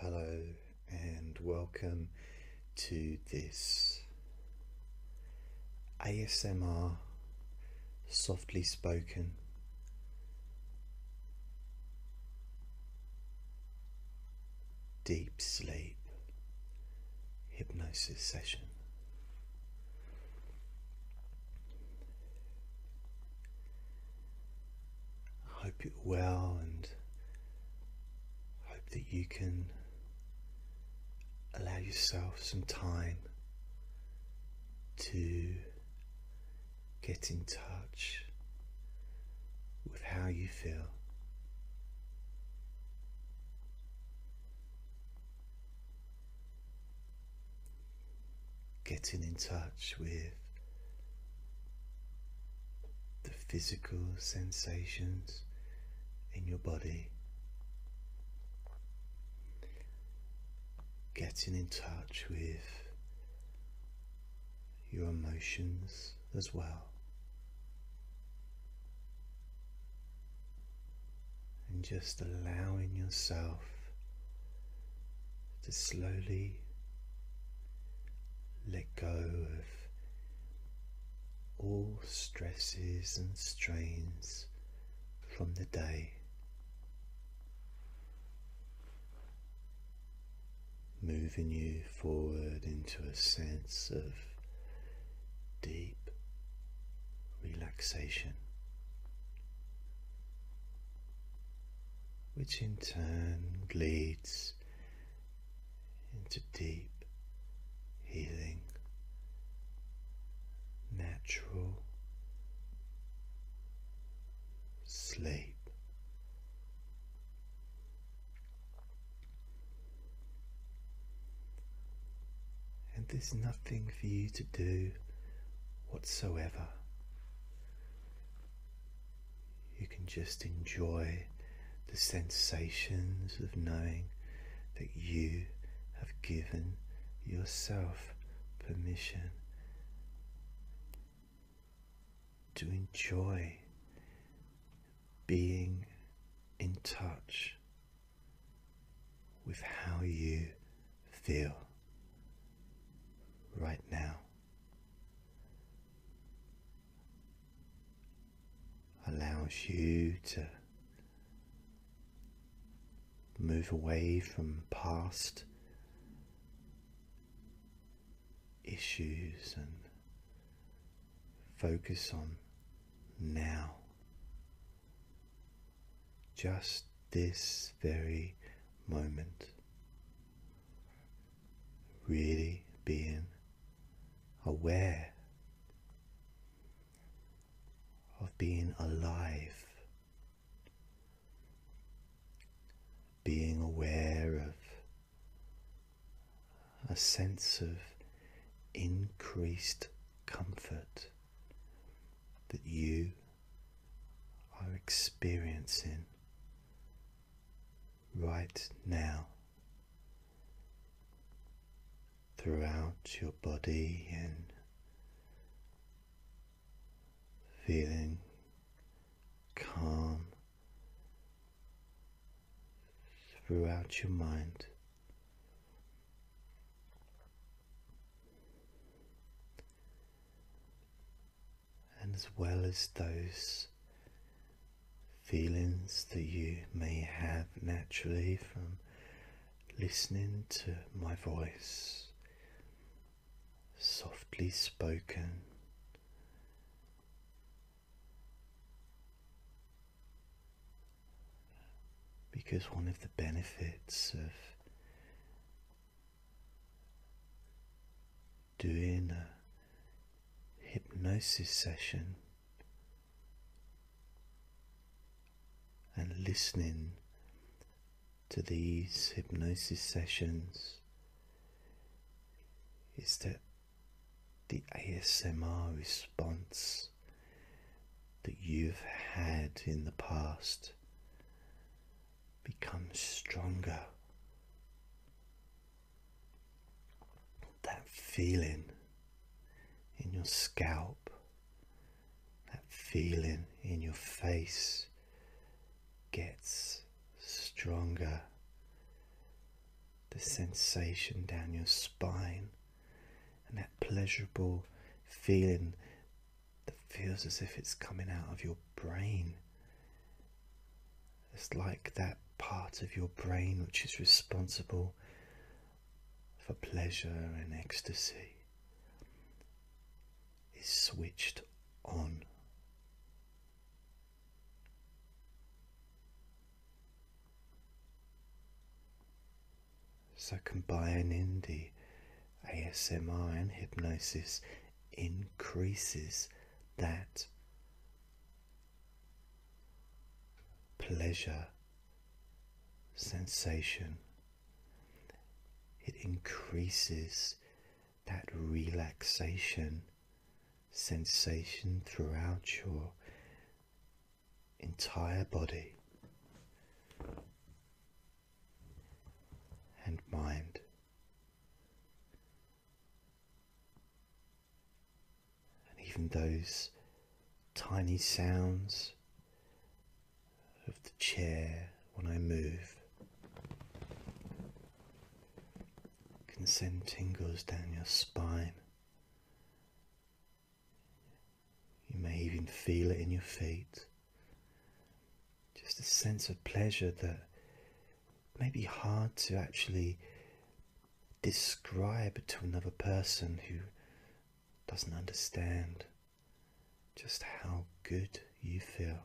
Hello and welcome to this ASMR, softly spoken. Deep sleep hypnosis session. I hope you well and hope that you can allow yourself some time to get in touch with how you feel. Getting in touch with the physical sensations in your body getting in touch with your emotions as well. And just allowing yourself to slowly let go of all stresses and strains from the day. Moving you forward into a sense of deep relaxation, which in turn leads into deep healing, natural sleep. And there's nothing for you to do whatsoever. You can just enjoy the sensations of knowing that you have given yourself permission to enjoy being in touch with how you feel right now. Allows you to Move away from past issues and focus on now. Just this very moment. Really being aware of being alive, being aware of a sense of increased comfort that you are experiencing right now throughout your body and feeling calm throughout your mind. And as well as those feelings that you may have naturally from listening to my voice, softly spoken. Because one of the benefits of doing a hypnosis session and listening to these hypnosis sessions is that the ASMR response that you've had in the past becomes stronger. That feeling in your scalp that feeling in your face gets stronger. The sensation down your spine and that pleasurable feeling that feels as if it's coming out of your brain. It's like that part of your brain which is responsible for pleasure and ecstasy is switched on. So, combining the ASMR and hypnosis increases that pleasure sensation it increases that relaxation sensation throughout your entire body and mind. And even those tiny sounds of the chair when I move. You can send tingles down your spine. You may even feel it in your feet. Just a sense of pleasure that may be hard to actually describe to another person who doesn't understand just how good you feel.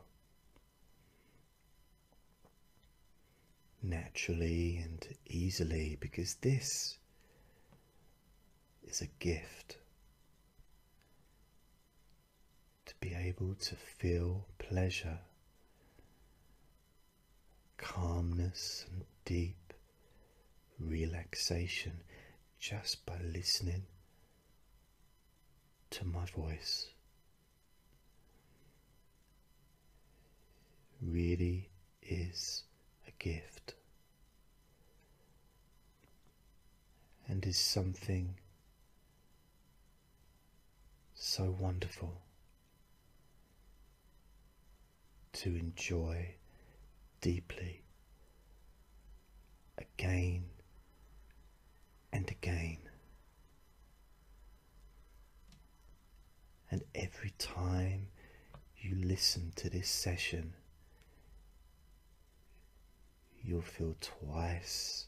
Naturally and easily, because this is a gift to be able to feel pleasure, calmness, and deep relaxation just by listening to my voice. Really is a gift and is something so wonderful to enjoy deeply again and again. And every time you listen to this session, you'll feel twice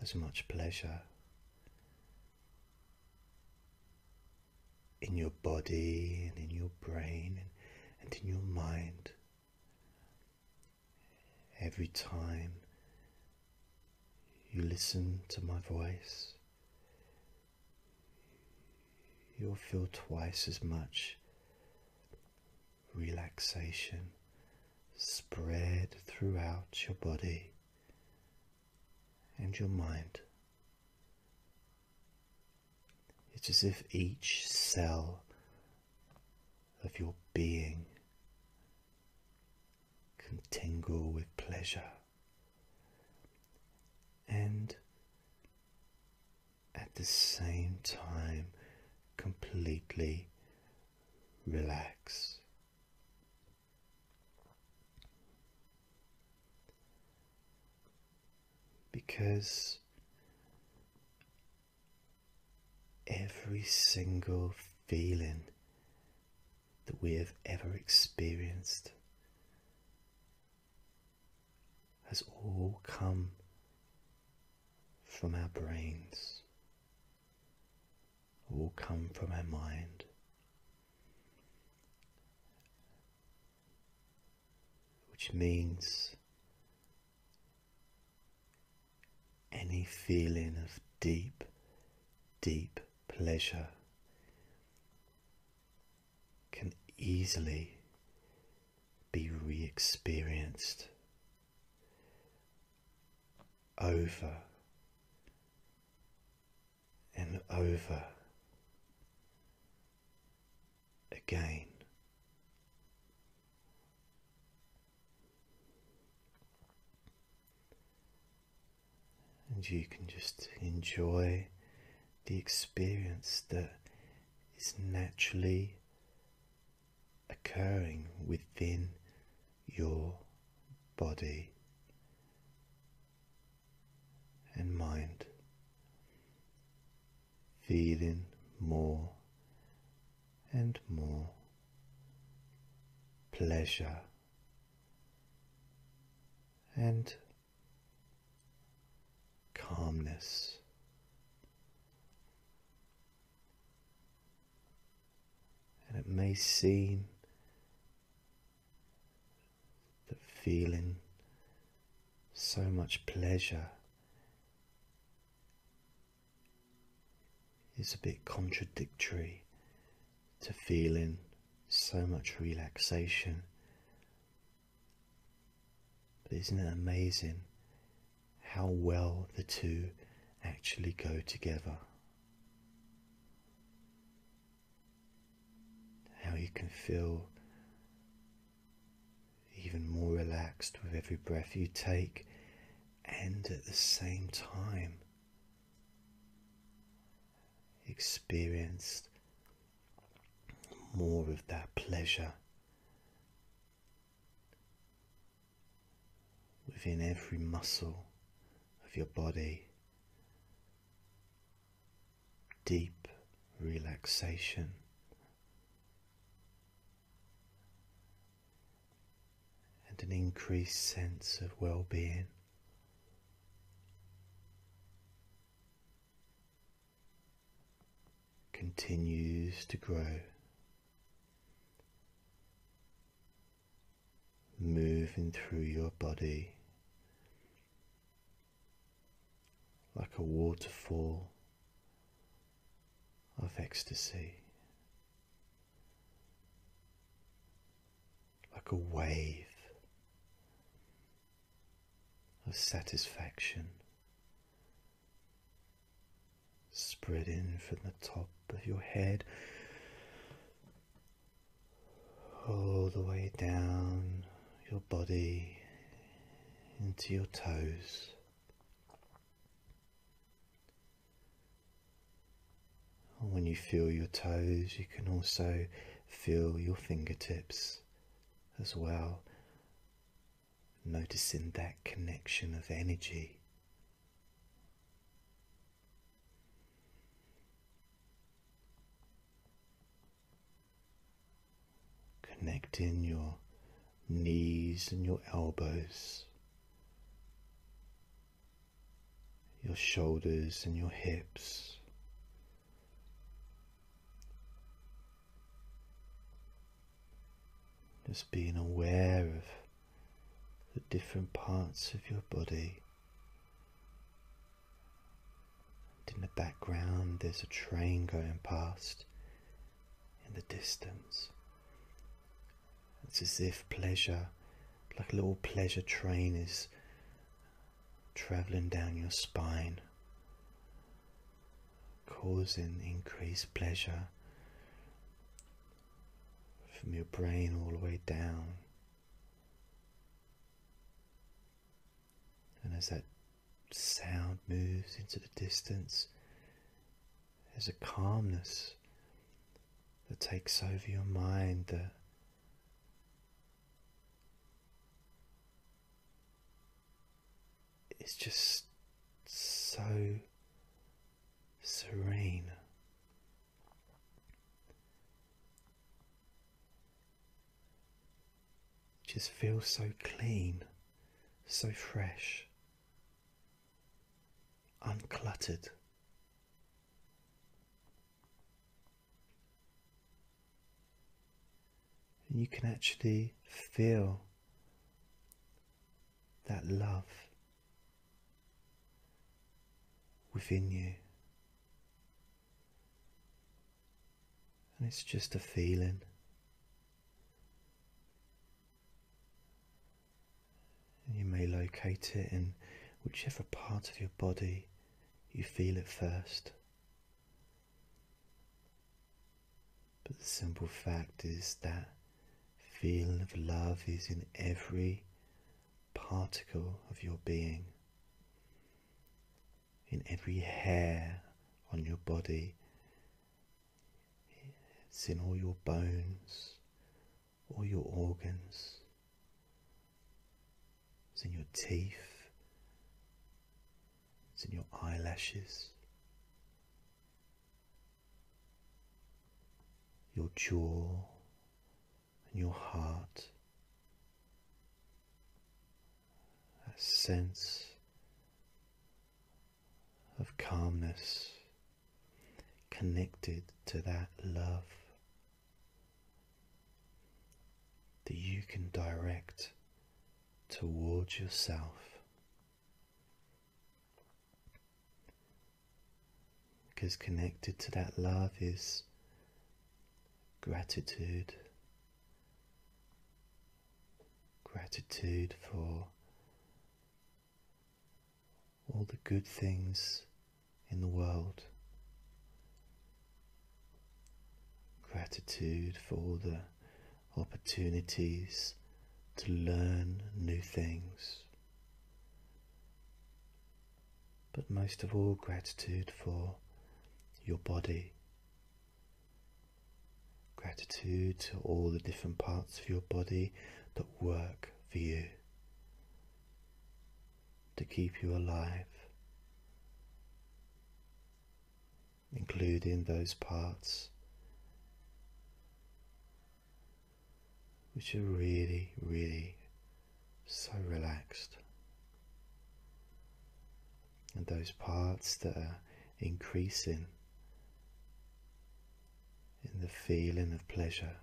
as much pleasure in your body and in your brain and in your mind. Every time you listen to my voice, you'll feel twice as much relaxation spread throughout your body and your mind. It's as if each cell of your being can tingle with pleasure. And at the same time, completely relax. Because every single feeling that we have ever experienced has all come from our brains, all come from our mind which means any feeling of deep, deep pleasure can easily be re experienced over and over again. And you can just enjoy the experience that is naturally occurring within your body and mind feeling more and more pleasure and calmness. And it may seem that feeling so much pleasure it's a bit contradictory to feeling so much relaxation. But isn't it amazing how well the two actually go together? How you can feel even more relaxed with every breath you take, and at the same time, experienced more of that pleasure within every muscle of your body. Deep relaxation and an increased sense of well being. Continues to grow, moving through your body like a waterfall of ecstasy, like a wave of satisfaction spread in from the top of your head all the way down your body into your toes when you feel your toes, you can also feel your fingertips as well, noticing that connection of energy. Connecting your knees and your elbows, your shoulders and your hips. Just being aware of the different parts of your body. in the background there's a train going past in the distance. It's as if pleasure, like a little pleasure train, is traveling down your spine, causing increased pleasure from your brain all the way down. And as that sound moves into the distance, there's a calmness that takes over your mind that is just so serene. Just feels so clean, so fresh uncluttered. And you can actually feel that love within you. And it's just a feeling you may locate it in whichever part of your body you feel it first. But the simple fact is that feeling of love is in every particle of your being, in every hair on your body, it's in all your bones, all your organs. It's in your teeth. It's in your eyelashes. Your jaw and your heart. A sense of calmness connected to that love that you can direct towards yourself. Because connected to that love is gratitude. Gratitude for all the good things in the world. Gratitude for the opportunities to learn new things. But most of all, gratitude for your body, Gratitude to all the different parts of your body that work for you to keep you alive, including those parts which are really, really so relaxed. And those parts that are increasing in the feeling of pleasure.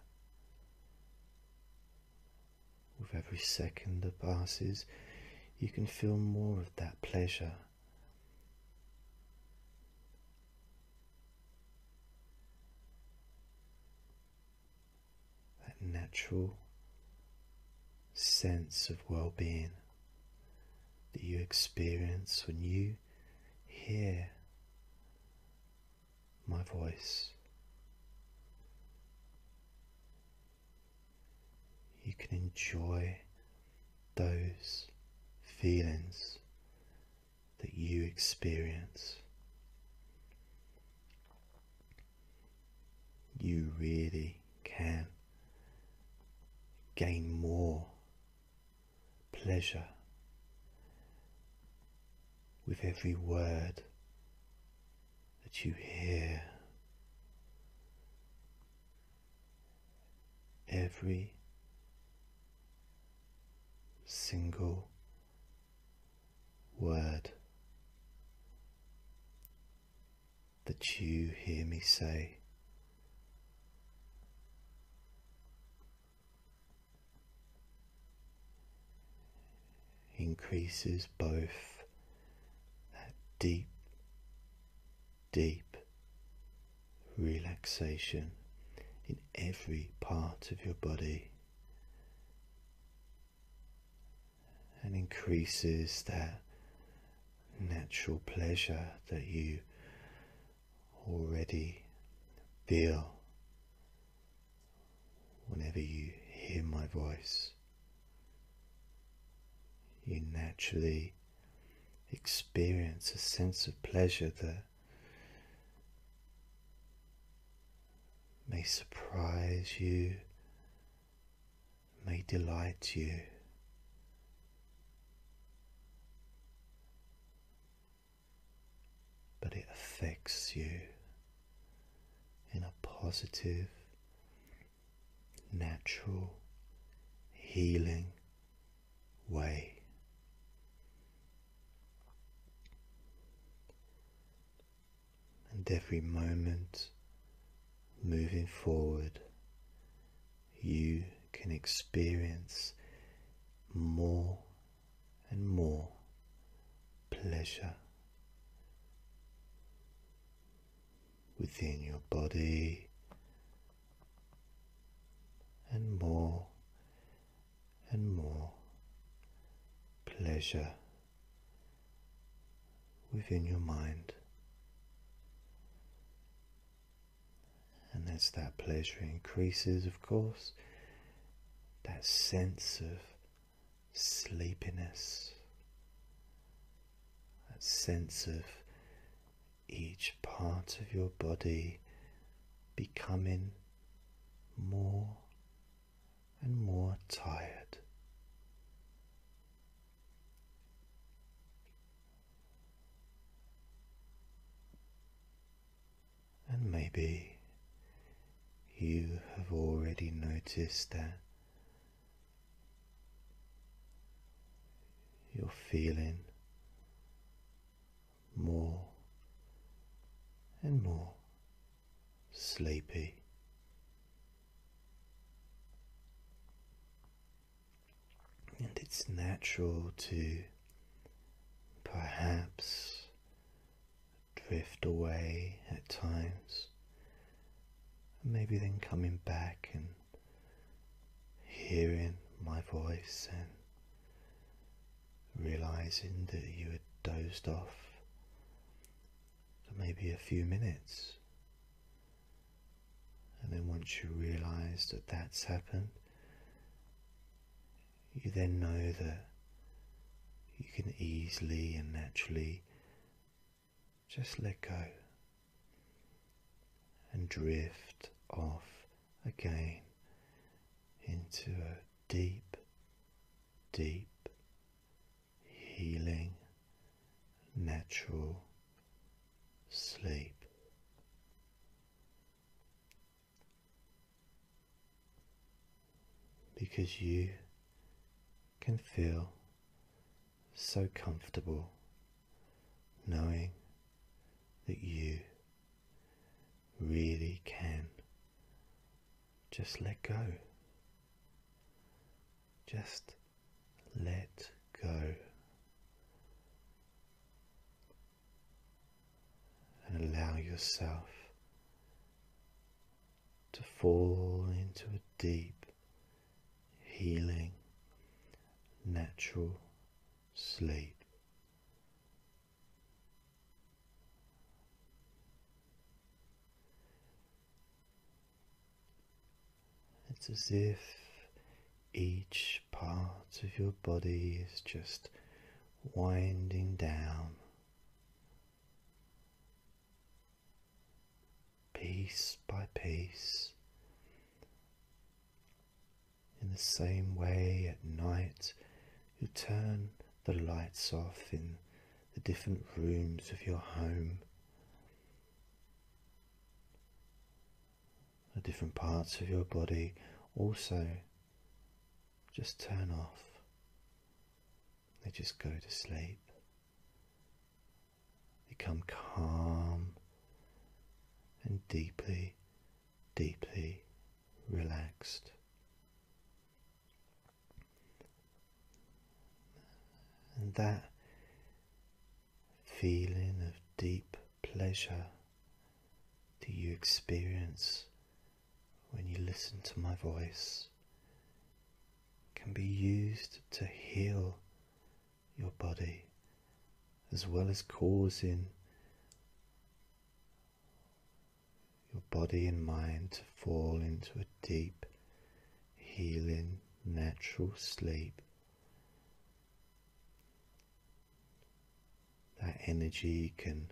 With every second that passes, you can feel more of that pleasure. That natural sense of well being that you experience when you hear my voice. You can enjoy those feelings that you experience. You really can gain more pleasure with every word that you hear, every single word that you hear me say increases both that deep, deep relaxation in every part of your body and increases that natural pleasure that you already feel whenever you hear my voice. You naturally experience a sense of pleasure that may surprise you, may delight you but it affects you in a positive, natural, healing way. And every moment moving forward, you can experience more and more pleasure within your body and more and more pleasure within your mind and as that pleasure increases, of course, that sense of sleepiness, that sense of each part of your body becoming more and more tired and maybe you have already noticed that you're feeling more and more sleepy. And it's natural to perhaps drift away at times, maybe then coming back and hearing my voice and realizing that you had dozed off for maybe a few minutes. And then once you realize that that's happened, you then know that you can easily and naturally just let go and drift off again into a deep, deep healing, natural sleep because you can feel so comfortable knowing that you really can just let go. Just let go and allow yourself to fall into a deep, healing, natural sleep. It's as if each part of your body is just winding down, piece by piece. In the same way, at night, you turn the lights off in the different rooms of your home. The different parts of your body also just turn off. They just go to sleep. Become calm and deeply, deeply relaxed. And that feeling of deep pleasure that you experience when you listen to my voice can be used to heal your body as well as causing your body and mind to fall into a deep healing natural sleep that energy can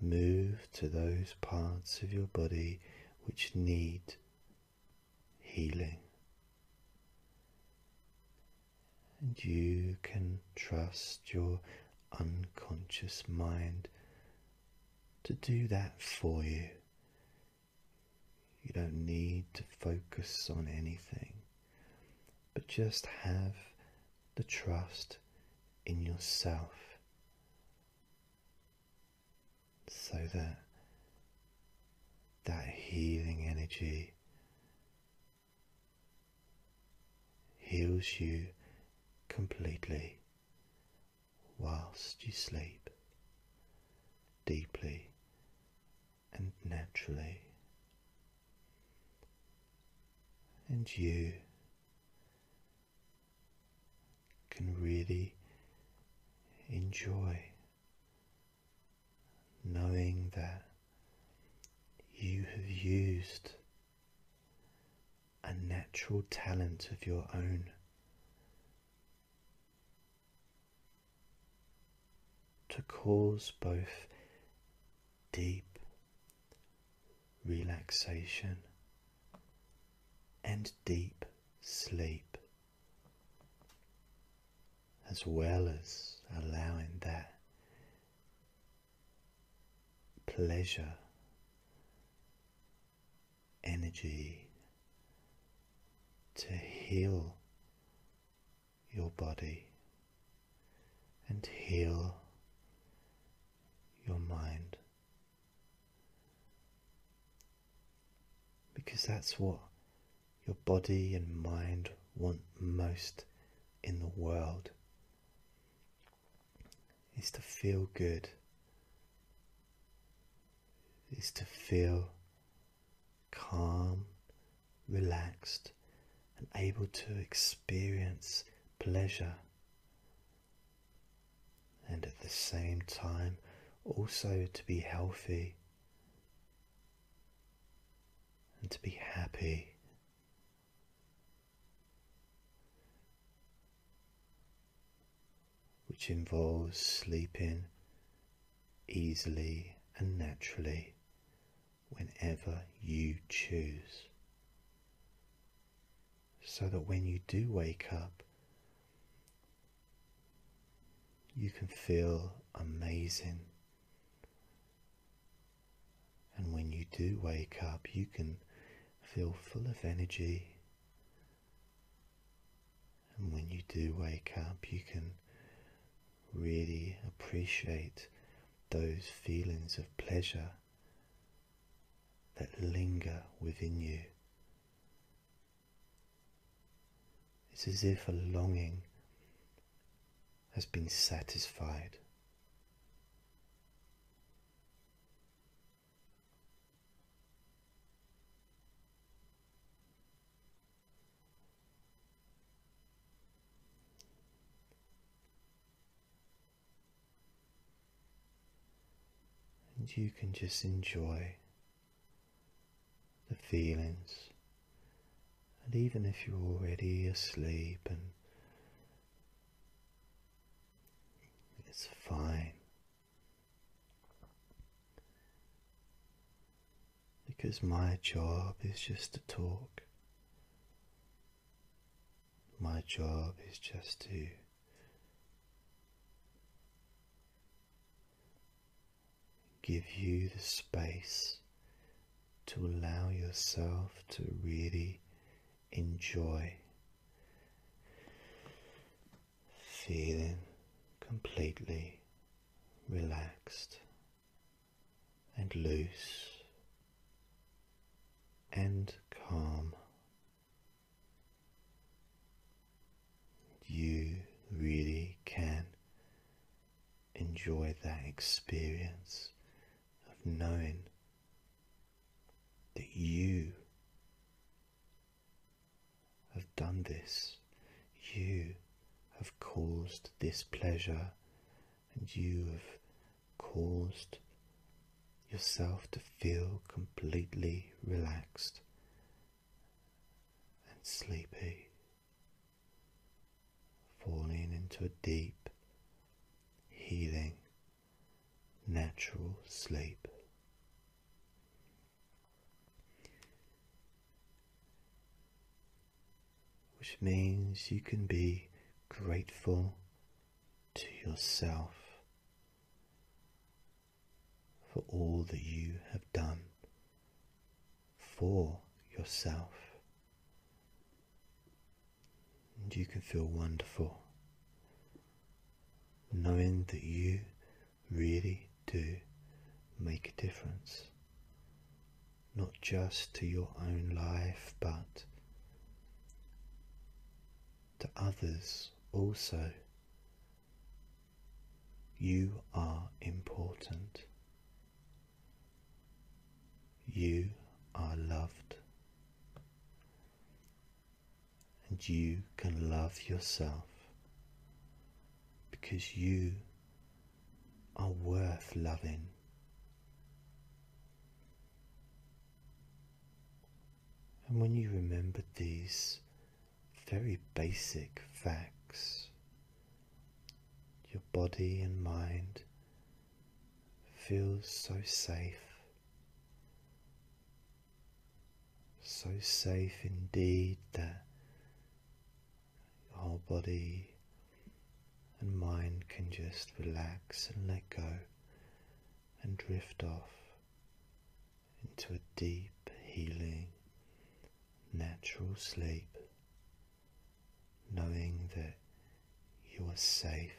move to those parts of your body which need healing. And you can trust your unconscious mind to do that for you. You don't need to focus on anything, but just have the trust in yourself so that that healing energy heals you completely whilst you sleep deeply and naturally and you can really enjoy knowing that you have used a natural talent of your own to cause both deep relaxation and deep sleep, as well as allowing that pleasure, energy to heal your body and heal your mind. Because that's what your body and mind want most in the world is to feel good, is to feel calm, relaxed, and able to experience pleasure, and at the same time also to be healthy and to be happy. Which involves sleeping easily and naturally whenever you choose. So that when you do wake up, you can feel amazing. And when you do wake up, you can feel full of energy. And when you do wake up, you can really appreciate those feelings of pleasure that linger within you. It's as if a longing has been satisfied and you can just enjoy the feelings. And even if you're already asleep and it's fine. Because my job is just to talk my job is just to give you the space to allow yourself to really enjoy feeling completely relaxed and loose and calm. You really can enjoy that experience of knowing that you have done this, you have caused this pleasure and you've caused yourself to feel completely relaxed and sleepy, falling into a deep, healing, natural sleep. Which means you can be grateful to yourself for all that you have done for yourself. And you can feel wonderful knowing that you really do make a difference, not just to your own life, but to others also. You are important. You are loved. And you can love yourself because you are worth loving. And when you remember these very basic facts, your body and mind feels so safe, so safe indeed that your whole body and mind can just relax and let go and drift off into a deep, healing, natural sleep, knowing that you are safe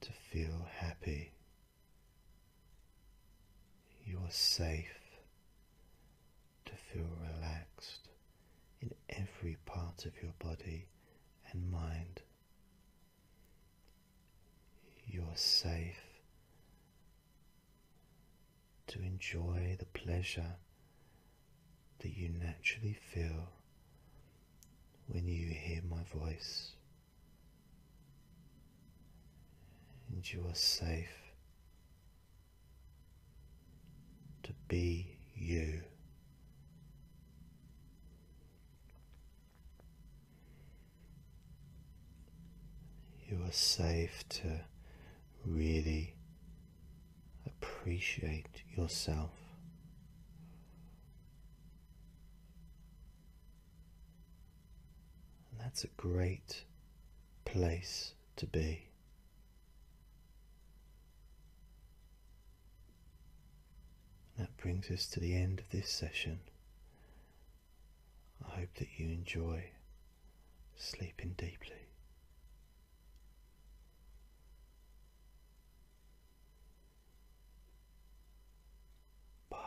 to feel happy. You are safe to feel relaxed in every part of your body and mind. You're safe to enjoy the pleasure that you naturally feel when you hear my voice. And you are safe to be you. You are safe to really appreciate yourself. And that's a great place to be. That brings us to the end of this session. I hope that you enjoy sleeping deeply. Bye.